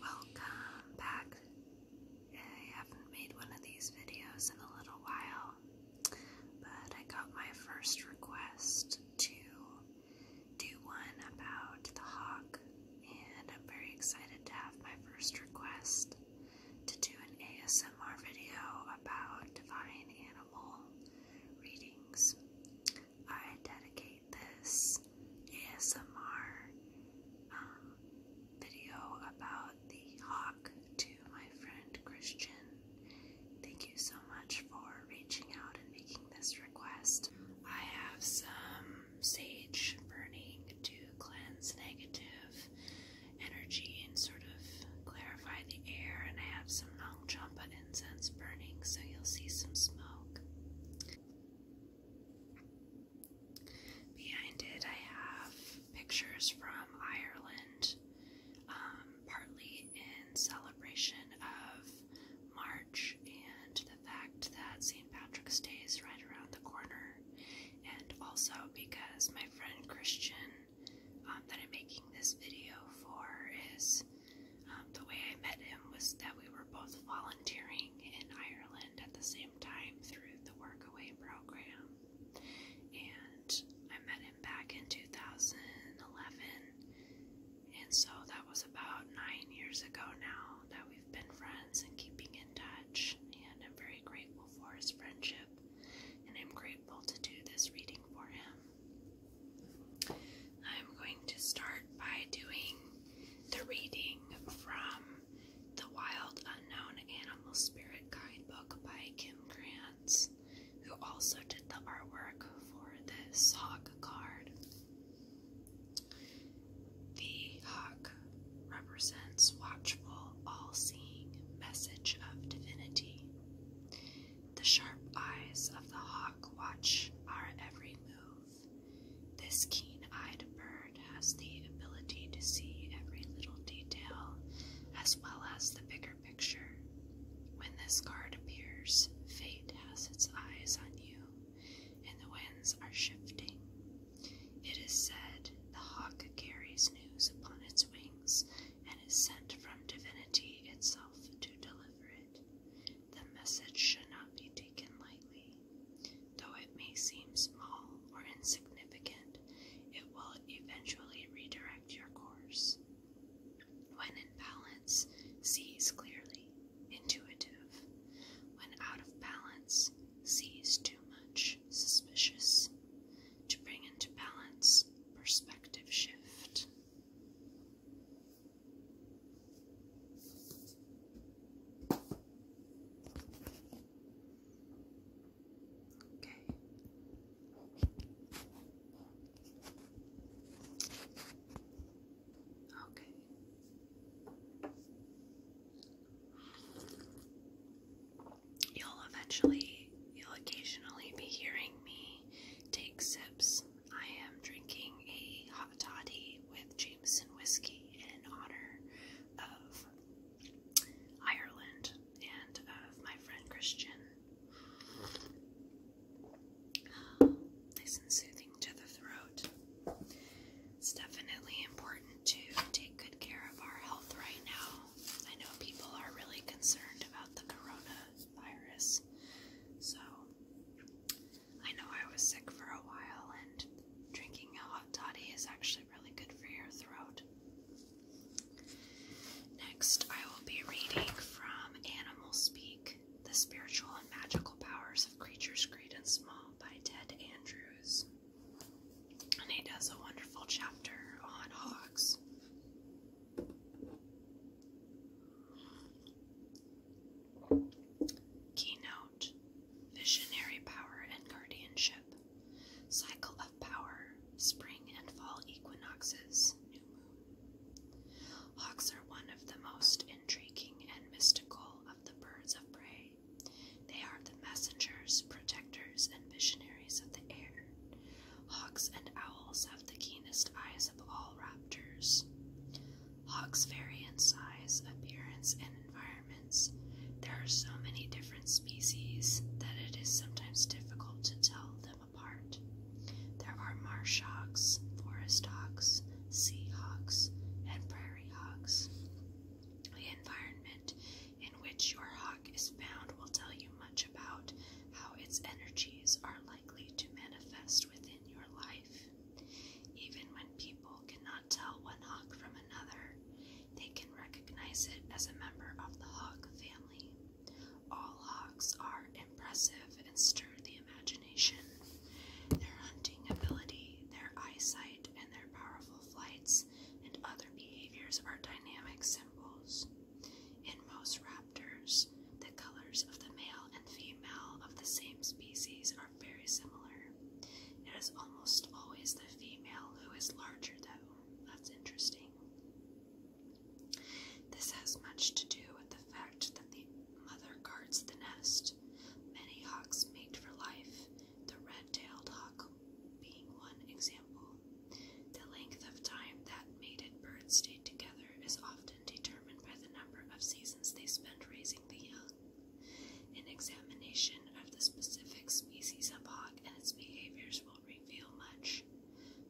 Welcome back. I haven't made one of these videos in a little while, but I got my first request to do one about the hawk, and I'm very excited to have my first request to do an ASMR video about divine animal readings. I dedicate this ASMR um, video about the hawk to my friend Christian. Thank you so much for reaching out and making this request. I have some sage burning to cleanse negative energy and sort of clarify the air, and I have some Nong Champa incense burning, so you'll see some smoke. Behind it, I have pictures from Ireland, um, partly in celebration of March and the fact that St. Patrick's Day is right around the corner, and also because my friend Christian um, that I'm making this video for is um, the way I met him was that we were both volunteering in Ireland at the same time through the Workaway program. And I met him back in 2011. And so that was about nine years ago now that we've been friends and keeping in touch. And I'm very grateful for his friendship. And I'm grateful to do this reading for him. I'm going to start by doing the reading from the Wild Unknown Animal Spirit Guidebook by Kim Krantz, who also did the artwork for this hawk card. The hawk represents watchful, all seeing message of divinity. The sharp eyes of the hawk watch our every move. This keen eyed bird has the ability to see every little detail as well as the bigger picture. When this card appears, fate has its eyes on you, and the winds are shifting. It is said the hawk carries news upon its wings and is sent from divinity itself to deliver it. The message should not be taken lightly. Though it may seem small or insignificant, it will eventually redirect your course. When in balance, sees clearly, intuitive. When out of balance, sees too much, suspicious. To bring into balance, perspective shift. Okay. Okay. You'll eventually, you'll occasionally be hearing me take sips I am drinking a hot toddy with Jameson whiskey in honor of Ireland and of my friend Christian. Nice and soothing to the throat. It's definitely important to take good care of our health right now. I know people are really concerned about the coronavirus so I know I was sick for a while, and drinking a hot toddy is actually really good for your throat. Next, I will be reading from Animal Speak The Spiritual and Magical Powers of Creatures Great and Small by Ted Andrews. And he does a wonderful chapter on hawks. Keynote Visionary Power and Guardianship, Cycle of Power, Spring and Fall Equinoxes, New Moon. Hawks are one of the most intriguing and mystical of the birds of prey. They are the messengers, protectors, and visionaries of the air, Hawks and owls have the keenest eyes of all raptors. Hawks vary in size, appearance, and environments. There are so many different species that it is sometimes difficult to tell them apart. There are marsh hawks, forest hawks, sea hawks, and prairie hawks. The environment in which your hawk is found will tell you much about how its energies are likely to manifest within your life. Even when people cannot tell one hawk from another, they can recognize it as a member of the hawk family. All hawks are impressive and stir the imagination. Their hunting ability, their eyesight, and their powerful flights and other behaviors are dynamic symbols. In most raptors, the colors of the male and female of the same species are very similar. It is almost always the female who is larger, though. That's interesting. This has much to do with the fact that the mother guards the nest. Many hawks mate for life, the red tailed hawk being one example. The length of time that mated birds stay together is often determined by the number of seasons they spend raising the young. An examination of the specific species of hawk and its behaviors will reveal much.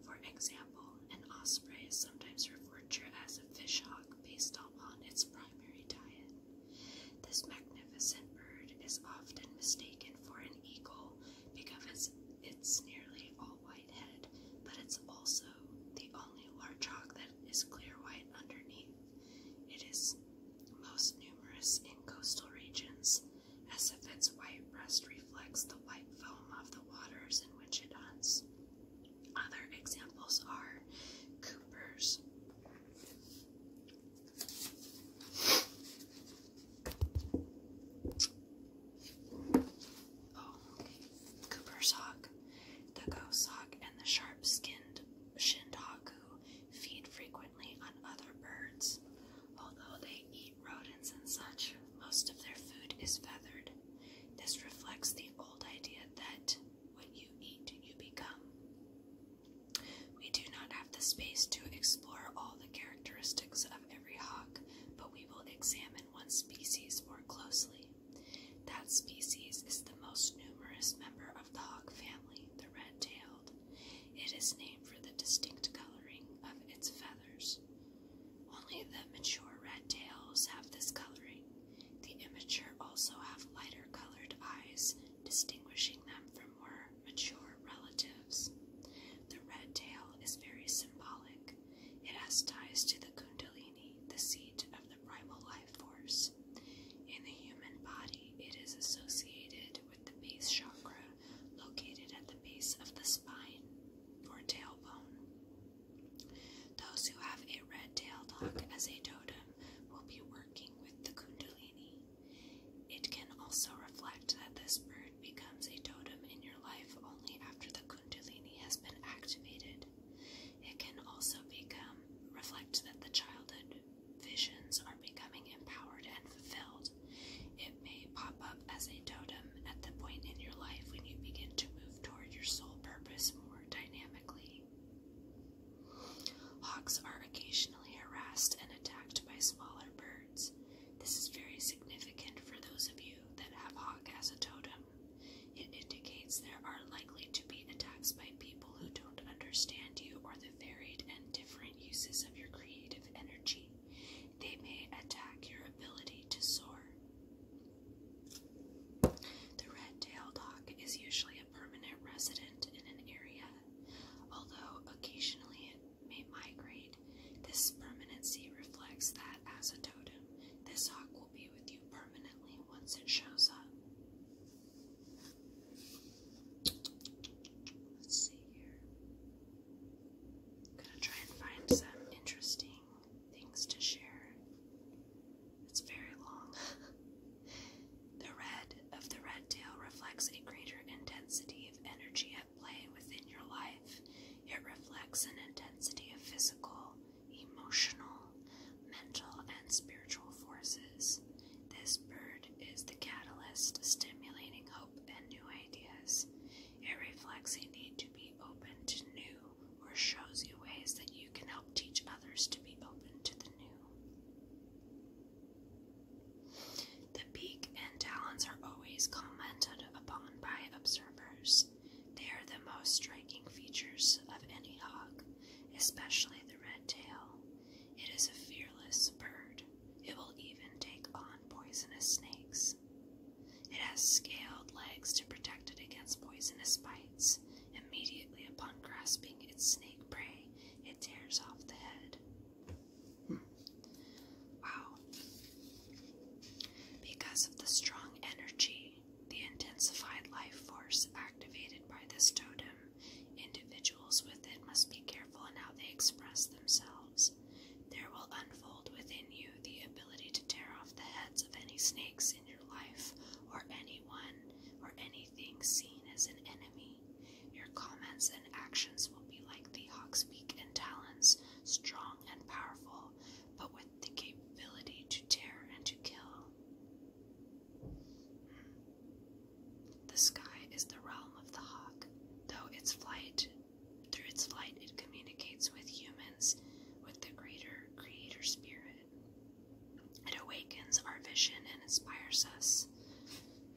For example, an osprey is sometimes referred to as a fish hawk based on its primary diet. This magnificent bird is often mistaken for an eagle because it's nearly all white head, but it's also the only large hawk that is clear white underneath. It is most numerous in coastal regions, as if its white breast reflects the white foam of the waters in which it hunts. Other examples are Cooper's Oh, Cooper's hawk, the ghost hawk, and the sharp-skinned shindhawk feed frequently on other birds. Although they eat rodents and such, most of their food is feathered. This reflects the old idea that what you eat, you become. We do not have the space to explore all the characteristics of every hawk, but we will examine one species more closely. That species is the most numerous member of the hawk family, the red-tailed. It is named for the distinct coloring of its feathers. Only the mature red tails have this coloring. The immature also have lighter colored eyes, distinguishing them from more mature relatives. The red tail is very symbolic. It has ties to the Kundalini, the seat of the primal life force. In the human body, it is associated with the base chakra located at the base of the spine or tailbone. Those who have a red tail dog as a totem will be working with the Kundalini. It can also reflect that this bird bird becomes a totem in your life only after the Kundalini has been activated. It can also become reflect that the childhood visions are becoming empowered and fulfilled. It may pop up as a totem at the point in your life when you begin to move toward your soul purpose more dynamically. Hawks are occasionally harassed and attacked by smaller birds. This is very significant for those of you that have Hawk as a totem. It indicates there are likely to be attacks by people who don't understand you or the varied and different uses of your creative energy. They may attack your ability to soar. The red tail hawk is usually a permanent resident in an area, although occasionally it may migrate this permanency reflects that as a totem, this hawk will be with you permanently once it shows up. Let's see here. gonna try and find some interesting things to share. It's very long. the red of the red tail reflects a greater intensity of energy play within your life. It reflects an intensity of physical, emotional, mental, and spiritual forces. This bird is the catalyst stimulating hope and new ideas. It reflects a need to be open to new or shows you ways that you can help teach others to be open to the new. The beak and talons are always commented upon by observers. They are the most striking features of any hawk, especially the red tail. It is a fearless bird. It will even take on poisonous snakes. It has scaled legs to protect it against poisonous bites. Immediately upon grasping its snake prey, it tears off the head. Wow. Because of the strong energy, the intensified life force activated by this totem, individuals with it must be careful in how they express themselves. There will unfold within you the ability to tear off the heads of any snakes in your life, or anyone or anything seen as an enemy. Your comments and actions will be like the hawk's beak and talons, strong and powerful, but with the capability to tear and to kill. The sky is the realm of the hawk, though its flight through its flight it communicates with humans with the greater creator spirit. It awakens our vision and inspires us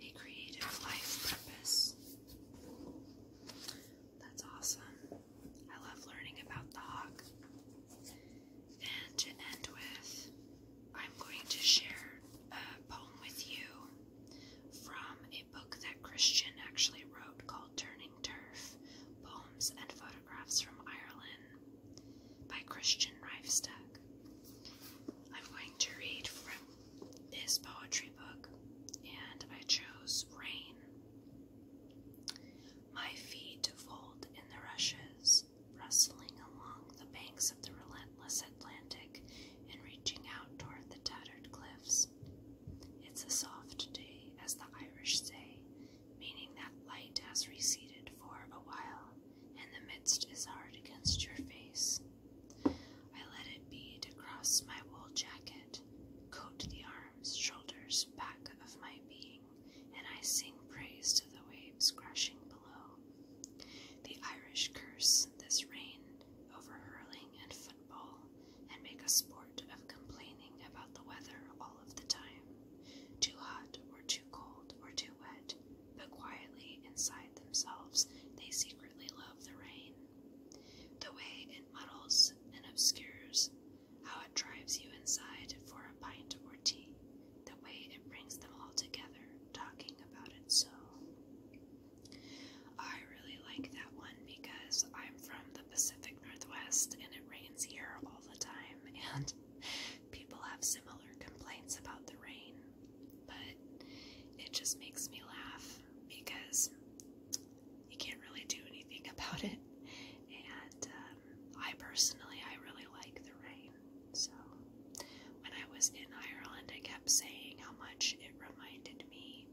a creative life purpose. That's awesome. I love learning about the hawk. And to end with, I'm going to share a poem with you from a book that Christian actually wrote called Turning Turf Poems and Photographs from Ireland by Christian Rifestack. I'm going to read from this poetry book, and I chose Rain. My feet fold in the rushes, rustling along the banks of the relentless Atlantic and reaching out toward the tattered cliffs. It's a soft day, as the Irish say, meaning that light has receded for a while and the mist is hard against your face. I let it be to cross my wool jacket, coat the arms, shoulders, back of my being, and I sing praise to the waves crashing below. The Irish curse this rain over hurling and football, and make a sport of complaining about the weather all of the time. Too hot or too cold or too wet, but quietly inside themselves they secretly love the rain the way it muddles and obscures, how it drives you inside for a pint or tea, the way it brings them all together, talking about it so. I really like that one because I'm from the Pacific Northwest and it rains here all the time, and people have similar complaints about the rain but it just makes me laugh because you can't really do anything about it. And um, I personally, I really like the rain. So when I was in Ireland, I kept saying how much it reminded me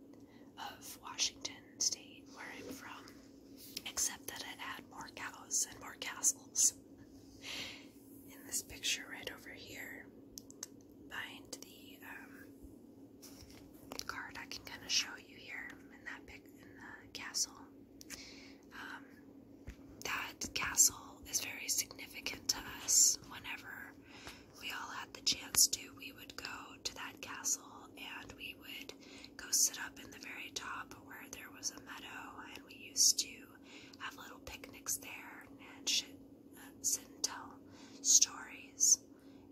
of Washington State, where I'm from, except that it had more cows and more castles. In this picture right over here, behind the um, card, I can kind of show you here in that pic in the castle. Um, that castle is very significant to us. Whenever we all had the chance to, we would go to that castle and we would go sit up in the very top where there was a meadow, and we used to have little picnics there and sit and tell stories,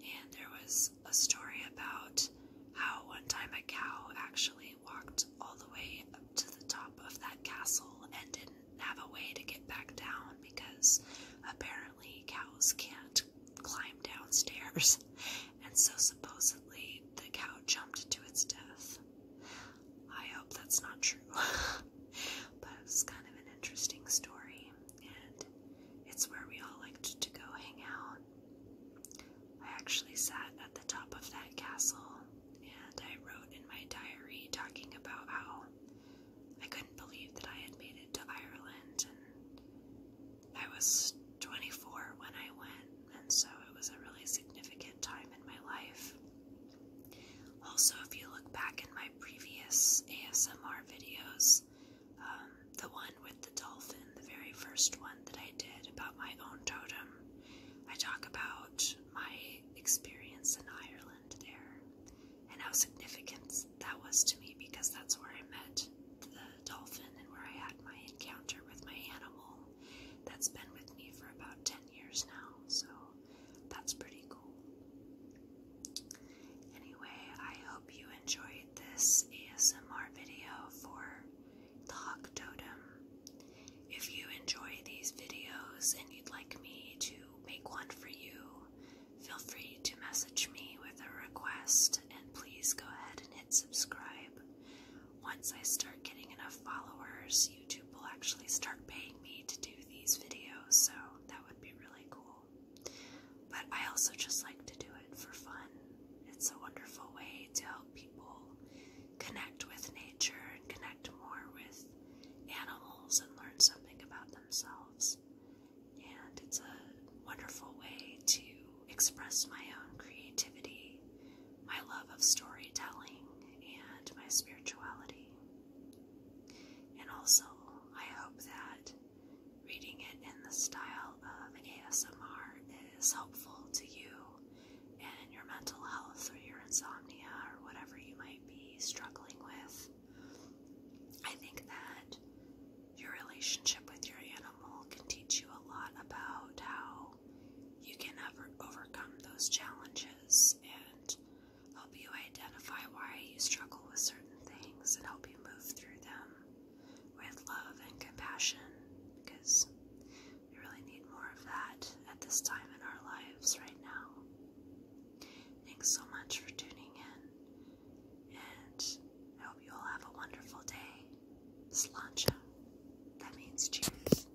and there was a story about how one time a cow actually walked all the way up to the top of that castle and didn't have a way to get back down because apparently cows can't climb downstairs, and so supposedly the cow jumped to its death. I hope that's not true. But it was kind of an interesting story, and it's where we all liked to go hang out. I actually sat at the top of that castle and I wrote in my diary talking about how I couldn't believe that I had made it to Ireland and I was 24 when I went and so it was a really significant time in my life. Also, if you look back in my previous ASMR videos, um, the one with the dolphin, the very first one that I did about my own totem, I talk about my experience in Ireland there and how significant that was to me because that's where I met the dolphin and where I had my encounter with my animal that's been with me for about 10 years now, so that's pretty cool. Anyway, I hope you enjoyed this ASMR video for the Totem. If you enjoy these videos and you'd like me to make one for you, feel free to message me with a request and please go ahead and hit subscribe. Once I start getting enough followers, YouTube will actually start paying me to do these videos, so that would be really cool. But I also just like to do it for fun. It's a wonderful way to help people connect with nature and connect more with animals and learn something about themselves. And it's a wonderful way to express my own creativity, my love of storytelling, and my spirituality. And also, I hope that reading it in the style of ASMR is helpful to you and your mental health or your insomnia or whatever you might be struggling with. I think that your relationship with your animal can teach you a lot about how you can ever overcome those challenges and help you identify why you struggle with certain things, and help you move through them with love and compassion because we really need more of that at this time in our lives right now. Thanks so much for tuning in, and I hope you all have a wonderful day. Slancha, that means cheers.